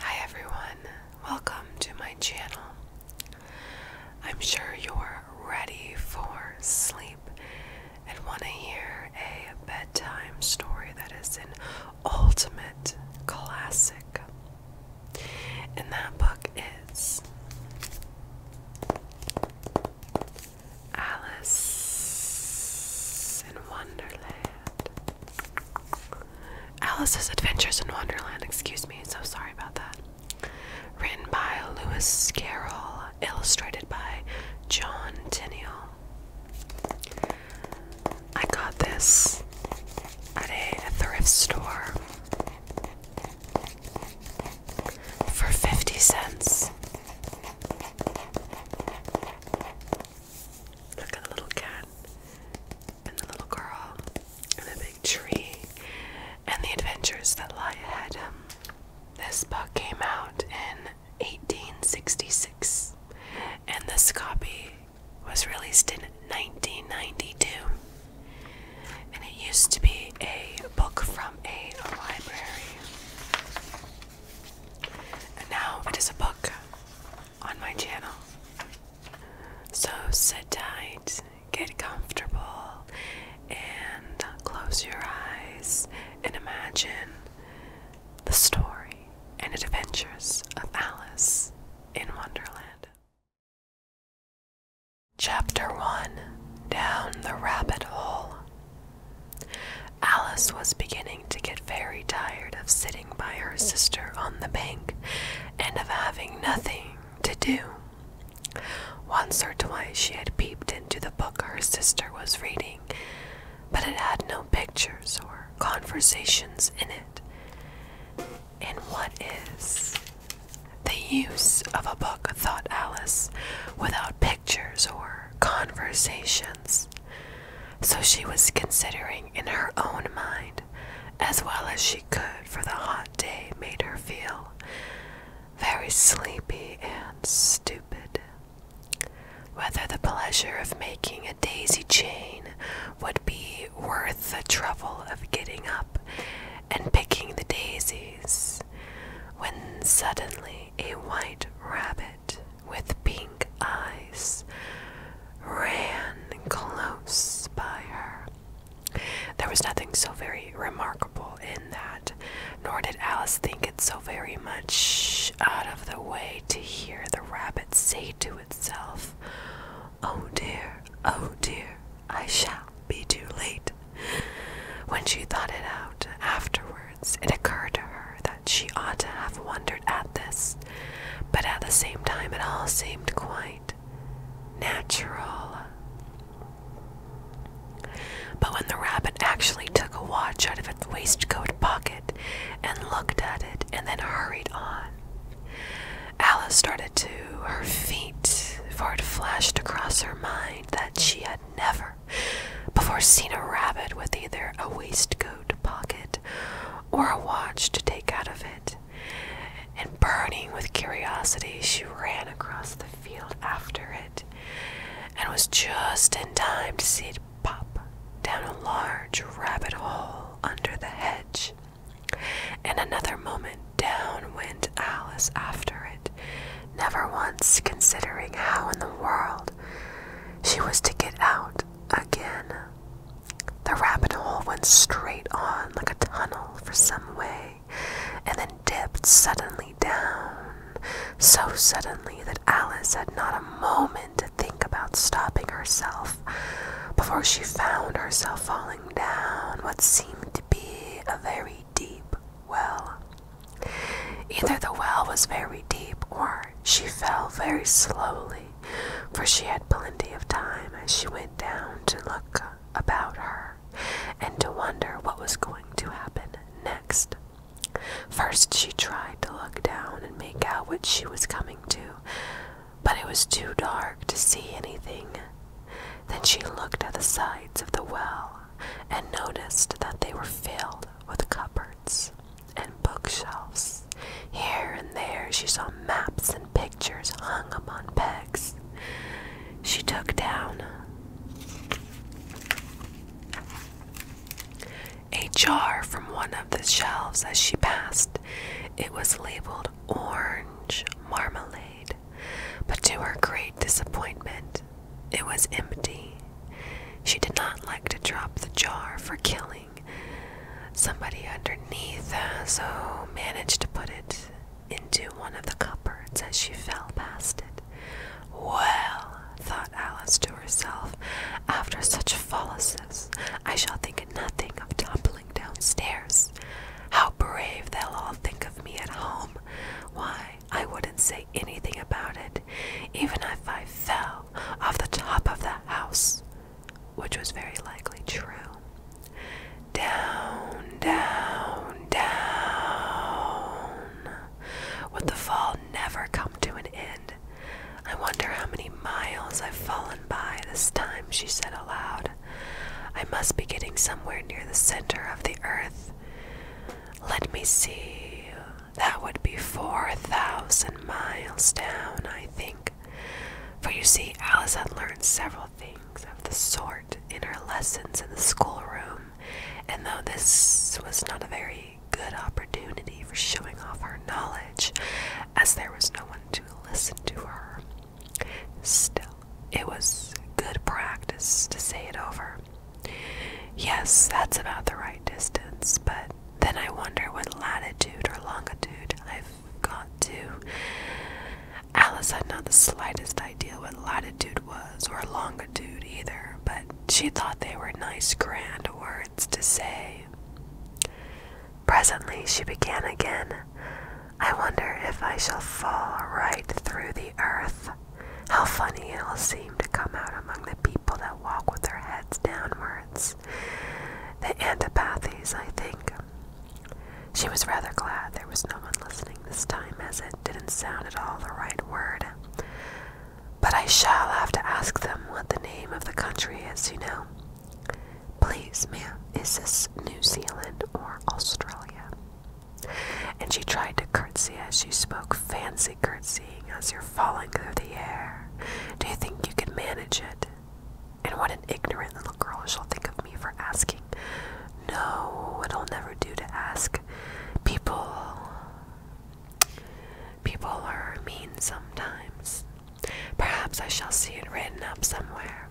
Hi everyone, welcome to my channel. I'm sure you're ready for sleep and want to hear a bedtime story that is in ultimate classic. And that book is Alice in Wonderland. Alice's Adventures in Wonderland, excuse me, so sorry about that. Written by Lewis Carroll, illustrated by John Tenniel. I got this at a, thrift store for 50 cents. Look at the little cat and the little girl, and the big tree, and the adventures that lie ahead. Um, this book came out in 1866, and this copy was released in 1992. And it used to be a book from a library. And now it is a book on my channel. So sit tight, get comfortable, and close your eyes and imagine the story and adventures of Alice in Wonderland. Chapter 1 Down the Rabbit Hole. Alice was beginning to get very tired of sitting by her sister on the bank and of having nothing to do. Once or twice she had peeped into the book her sister was reading, but it had no pictures or conversations in it. And what is the use of a book, thought Alice, without pictures or conversations? So she was considering in her own mind as well as she could, for the hot day made her feel very sleepy and stupid. Whether the pleasure of making a daisy chain would be worth the trouble of getting up and picking the daisies, when suddenly a white rabbit with pink eyes ran close by her. There was nothing so very remarkable in that, nor did Alice think it so very much out of the way to hear the rabbit say to itself, Oh dear, oh dear, I shall be too late. When she thought it out afterwards, it occurred to her that she ought to have wondered at this, but at the same time, it all seemed quite natural. But when the rabbit actually took a watch out of its waistcoat pocket and looked at it and then hurried on, Alice started to her feet, for it flashed across her mind that she had never before seen a rabbit with either a waistcoat pocket or a watch to take out of it and burning with curiosity, she ran across the field after it and was just in time to see it pop down a large rabbit hole under the hedge. In another moment, down went Alice after it, never once considering how in the world she was to get out again. The rabbit hole went straight on like a tunnel for some way, and then dipped suddenly down, so suddenly that Alice had not a moment to think about stopping herself before she found herself falling down what seemed to be a very deep well. Either the well was very deep or she fell very slowly for she had plenty of time as she went down to look about her and to wonder what was going to happen next. First, she tried to look down and make out what she was coming to, but it was too dark to see anything. Then she looked at the sides of the well and noticed that they were filled with cupboards and bookshelves. Here and there she saw maps and pictures hung upon pegs. She took down a jar from one of the shelves as she passed. It was labeled orange marmalade, but to her great disappointment, it was empty. She did not like to drop the jar for killing somebody underneath, uh, so managed to put it into one of the cupboards as she fell past it. Well, thought Alice to herself, after such follises, I shall think nothing of toppling downstairs. How brave they'll all think of me at home! Why, I wouldn't say anything about it, even if I fell off the top of the house which was very likely true. Down, down, down. Would the fall never come to an end? I wonder how many miles I've fallen by this time, she said aloud. I must be getting somewhere near the center of the earth. Let me see. That would be 4,000 miles down, I think. For you see, Alice had learned several things of the sort in her lessons in the schoolroom, and though this was not a very good opportunity for showing off her knowledge, as there was no one to listen to her, still, it was good practice to say it over. Yes, that's about the right distance, but then I wonder what latitude or longitude I have got to. Alice had not the slightest idea what latitude was, or longitude either, but she thought they were nice, grand words to say. Presently she began again. I wonder if I shall fall right through the earth. How funny it will seem to come out among the people that walk with their heads downwards. The antipathies, I think. She was rather glad there was no one listening this time, as it didn't sound at all the right word. But I shall have to ask them what the name of the country is, you know. Please, ma'am, is this New Zealand or Australia? And she tried to curtsy as she spoke, fancy curtsying as you're falling through the air. Do you think you could manage it? And what an ignorant little girl she'll think of me for asking. No, it'll never do to ask. People. People are mean sometimes. Perhaps I shall see it written up somewhere.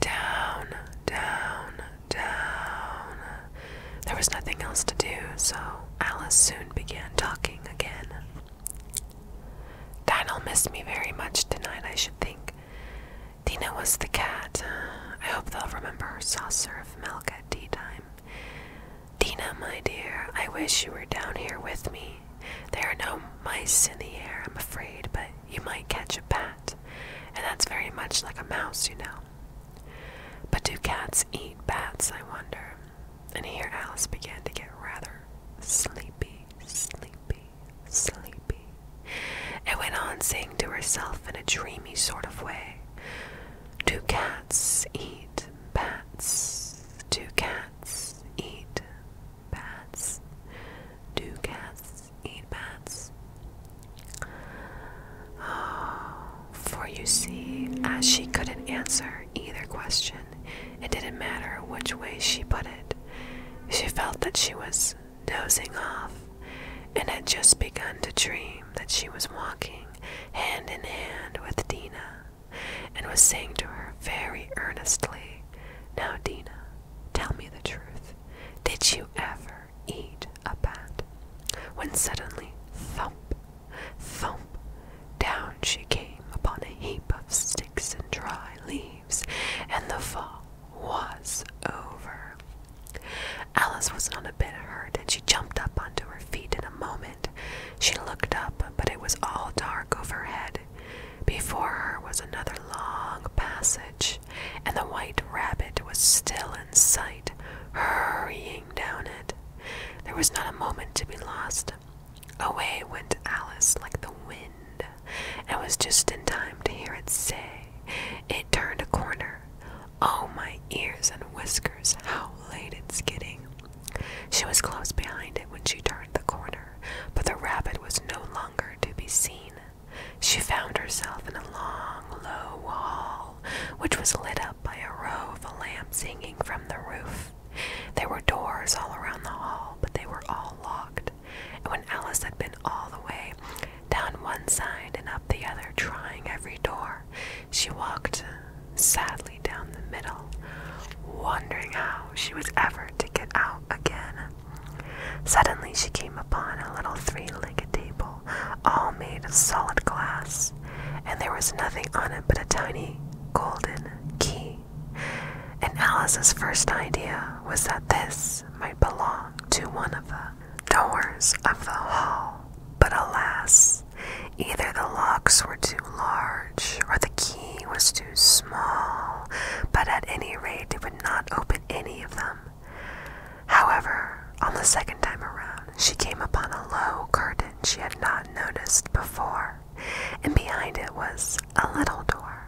Down, down, down. There was nothing else to do, so Alice soon began talking again. Dinah'll miss me very much tonight, I should think. Dina was the cat. I hope they'll remember her saucer of milk at tea time. Dina, my dear, I wish you were down here with me. There are no mice in the air, I'm afraid, but you might catch a bat, and that's very much like a mouse, you know. But do cats eat bats, I wonder? And here Alice began to get rather sleepy, sleepy sleepy, and went on saying to herself in a dreamy sort of way, Do cats eat bats? Do cats eat bats? Do cats eat bats? Oh, for you see, as she couldn't answer either question, it didn't matter which way she put it. She felt that she was dozing off and had just begun to dream that she was walking hand in hand with Dina and was saying to her very earnestly, Now, Dina, tell me the truth. Did you ever eat a bat? When suddenly, thump, thump, down she came upon a heap of sticks and dry leaves, and the fall was over. Alice was not a bit hurt, and she jumped up onto her feet in a moment. She looked up, but it was all dark overhead. Before her was another long passage, and the white rabbit was still in sight, hurrying down it. There was not a moment to be lost. Away went Alice like the wind and was just in time to hear it say, It turned a corner. Oh, my ears and whiskers, how late it's getting. She was close behind it when she turned the corner, but the rabbit was no longer to be seen. She found herself in a long, low hall, which was lit up by a row of lamps hanging from the roof. There were doors all around the hall, but they were all locked and when Alice had been all the way down one side and up the other, trying every door, she walked sadly down the middle, wondering how she was ever to get out again. Suddenly she came upon a little three-legged table, all made of solid glass, and there was nothing on it but a tiny golden key. And Alice's first idea was that this might belong to one of the doors of the hall, but alas, either the locks were too large or the key was too small, but at any rate it would not open any of them. However, on the second time around, she came upon a low curtain she had not noticed before, and behind it was a little door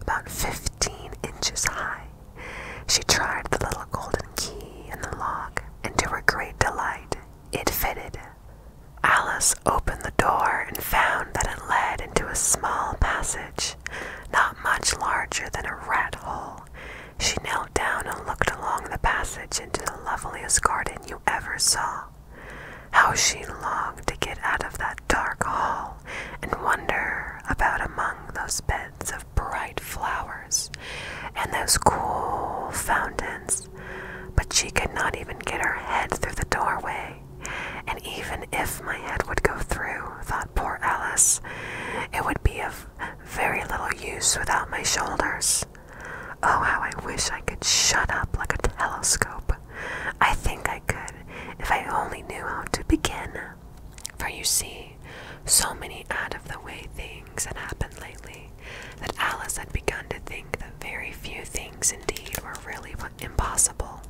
about fifteen inches high. She tried the little golden key in the lock, and to her great delight, it fitted. Alice opened the door and found that it led into a small passage, not much larger than a rat hole. She knelt down and looked along the passage into the loveliest garden you ever saw. How she longed to get out of that dark hall and wander about among those beds of bright flowers and those cool fountains, but she could not even get her head through the doorway. And even if my head would go through, thought poor Alice, it would be of very little use without my shoulders. Oh, how I wish I could shut up like a telescope. I think I could if I only knew how to begin. For you see, so many out of the way things had happened lately that Alice had begun to think that very few things indeed were really impossible.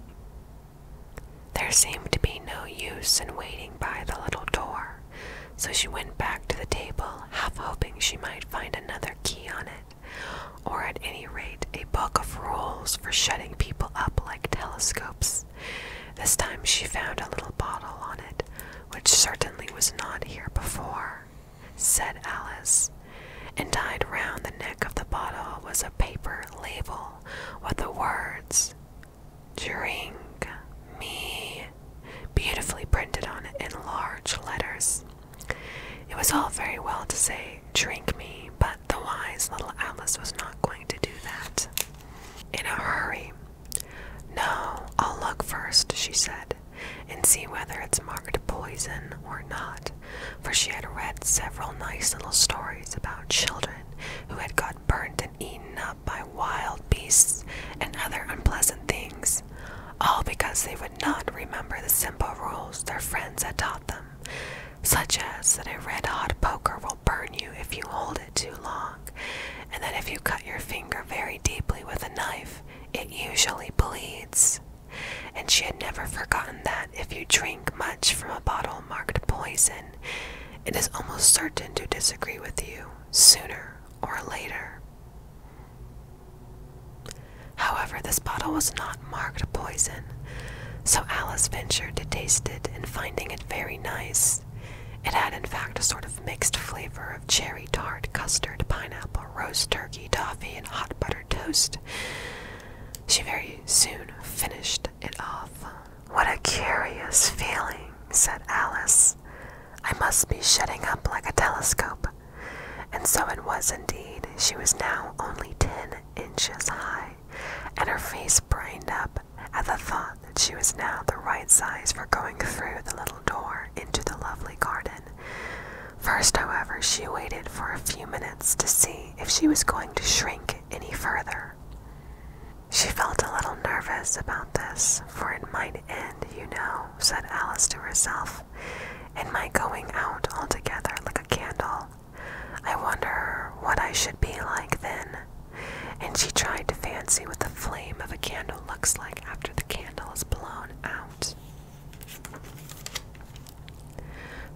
There seemed to be no use in waiting by the little door, so she went back to the table, half hoping she might find another key on it, or at any rate a book of rules for shutting people up like telescopes. This time she found a little bottle on it, which certainly was not here before, said Alice. And tied round the neck of the bottle was a paper label with the words, Drink me, beautifully printed on it in large letters. It was all very well to say drink me, but the wise little Alice was not going to do that. In a hurry. No, I'll look first, she said, and see whether it's marked poison or not, for she had read several nice little stories about children who had got burnt and eaten up by wild beasts and other unpleasant things, all because they would not remember the simple rules their friends had taught them, such as that a red hot poker will burn you if you hold it too long, and that if you cut your finger very deeply with a knife, it usually bleeds. And she had never forgotten that if you drink much from a bottle marked poison, it is almost certain to disagree with you sooner or later. However, this bottle was not marked poison, so Alice ventured to taste it and finding it very nice. It had, in fact, a sort of mixed flavor of cherry tart, custard, pineapple, roast turkey, toffee, and hot buttered toast. She very soon finished it off. What a curious feeling, said Alice. I must be shutting up like a telescope. And so it was indeed. She was now only ten inches high and her face brightened up at the thought that she was now the right size for going through the little door into the lovely garden. First, however, she waited for a few minutes to see if she was going to shrink any further. She felt a little nervous about this, for it might end, you know, said Alice to herself, in my going out altogether like a candle. I wonder what I should be like then. And she tried to fancy what the flame of a candle looks like after the candle is blown out.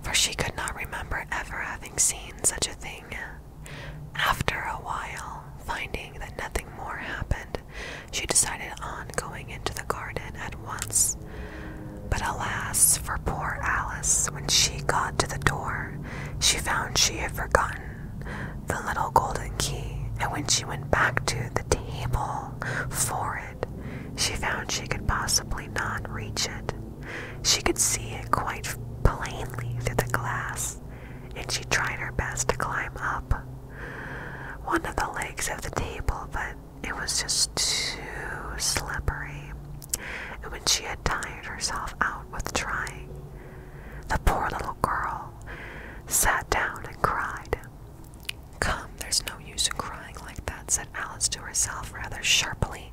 For she could not remember ever having seen such a thing. After a while, finding that nothing more happened, she decided on going into the garden at once. But alas for poor Alice, when she got to the door, she found she had forgotten the little golden key, and when she went back to the table for it, she found she could possibly not reach it. She could see it quite plainly through the glass, and she tried her best to climb up one of the legs of the table, but it was just too slippery and when she had tired herself out with trying, the poor little girl sat down and cried. Come, there's no use in crying like that, said Alice to herself rather sharply.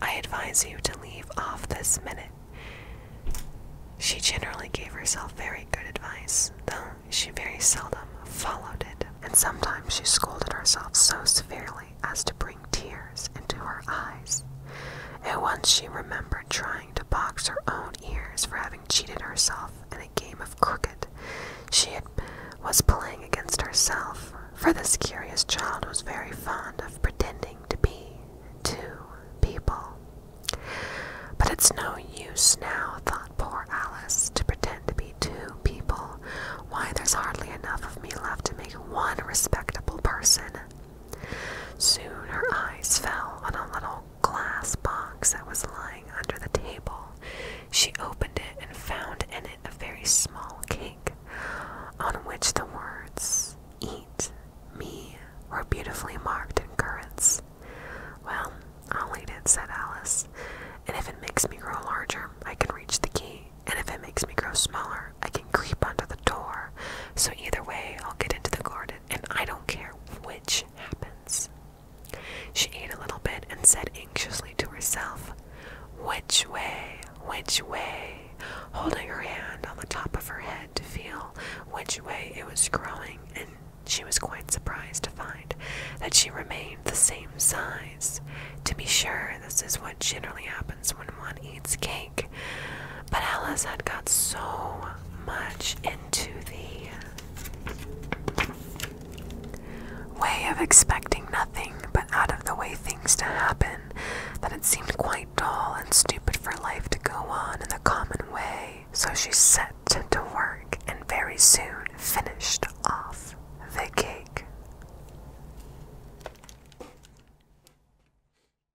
I advise you to leave off this minute. She generally gave herself very good advice, though she very seldom followed it, and sometimes she scolded herself so severely as to break tears into her eyes. At once she remembered trying to box her own ears for having cheated herself in a game of crooked. She was playing against herself, for this curious child was very fond of pretending to be two people. But it's no use now, thought poor Alice, to pretend to be two people. Why, there's hardly enough of me left to make one respectable person. Soon her eyes fell on a little glass box that was lying under the table. She opened it and found in it a very small cake on which the words, Eat me, were beautifully marked in currants. Well, I'll eat it, said Alice, and if it makes me grow larger, I can reach the key and if it makes me grow smaller, I can creep under the door. So either way, I'll get into the garden, and I don't care which happens. She ate a little bit and said anxiously to herself, Which way? Which way? Holding her hand on the top of her head to feel which way it was growing, and she was quite surprised to find that she remained the same size. To be sure, this is what generally happens when one eats cake. But Alice had got so much into the way of expecting nothing but out of the way things to happen that it seemed quite dull and stupid for life to go on in the common way. So she set to work and very soon finished off the cake.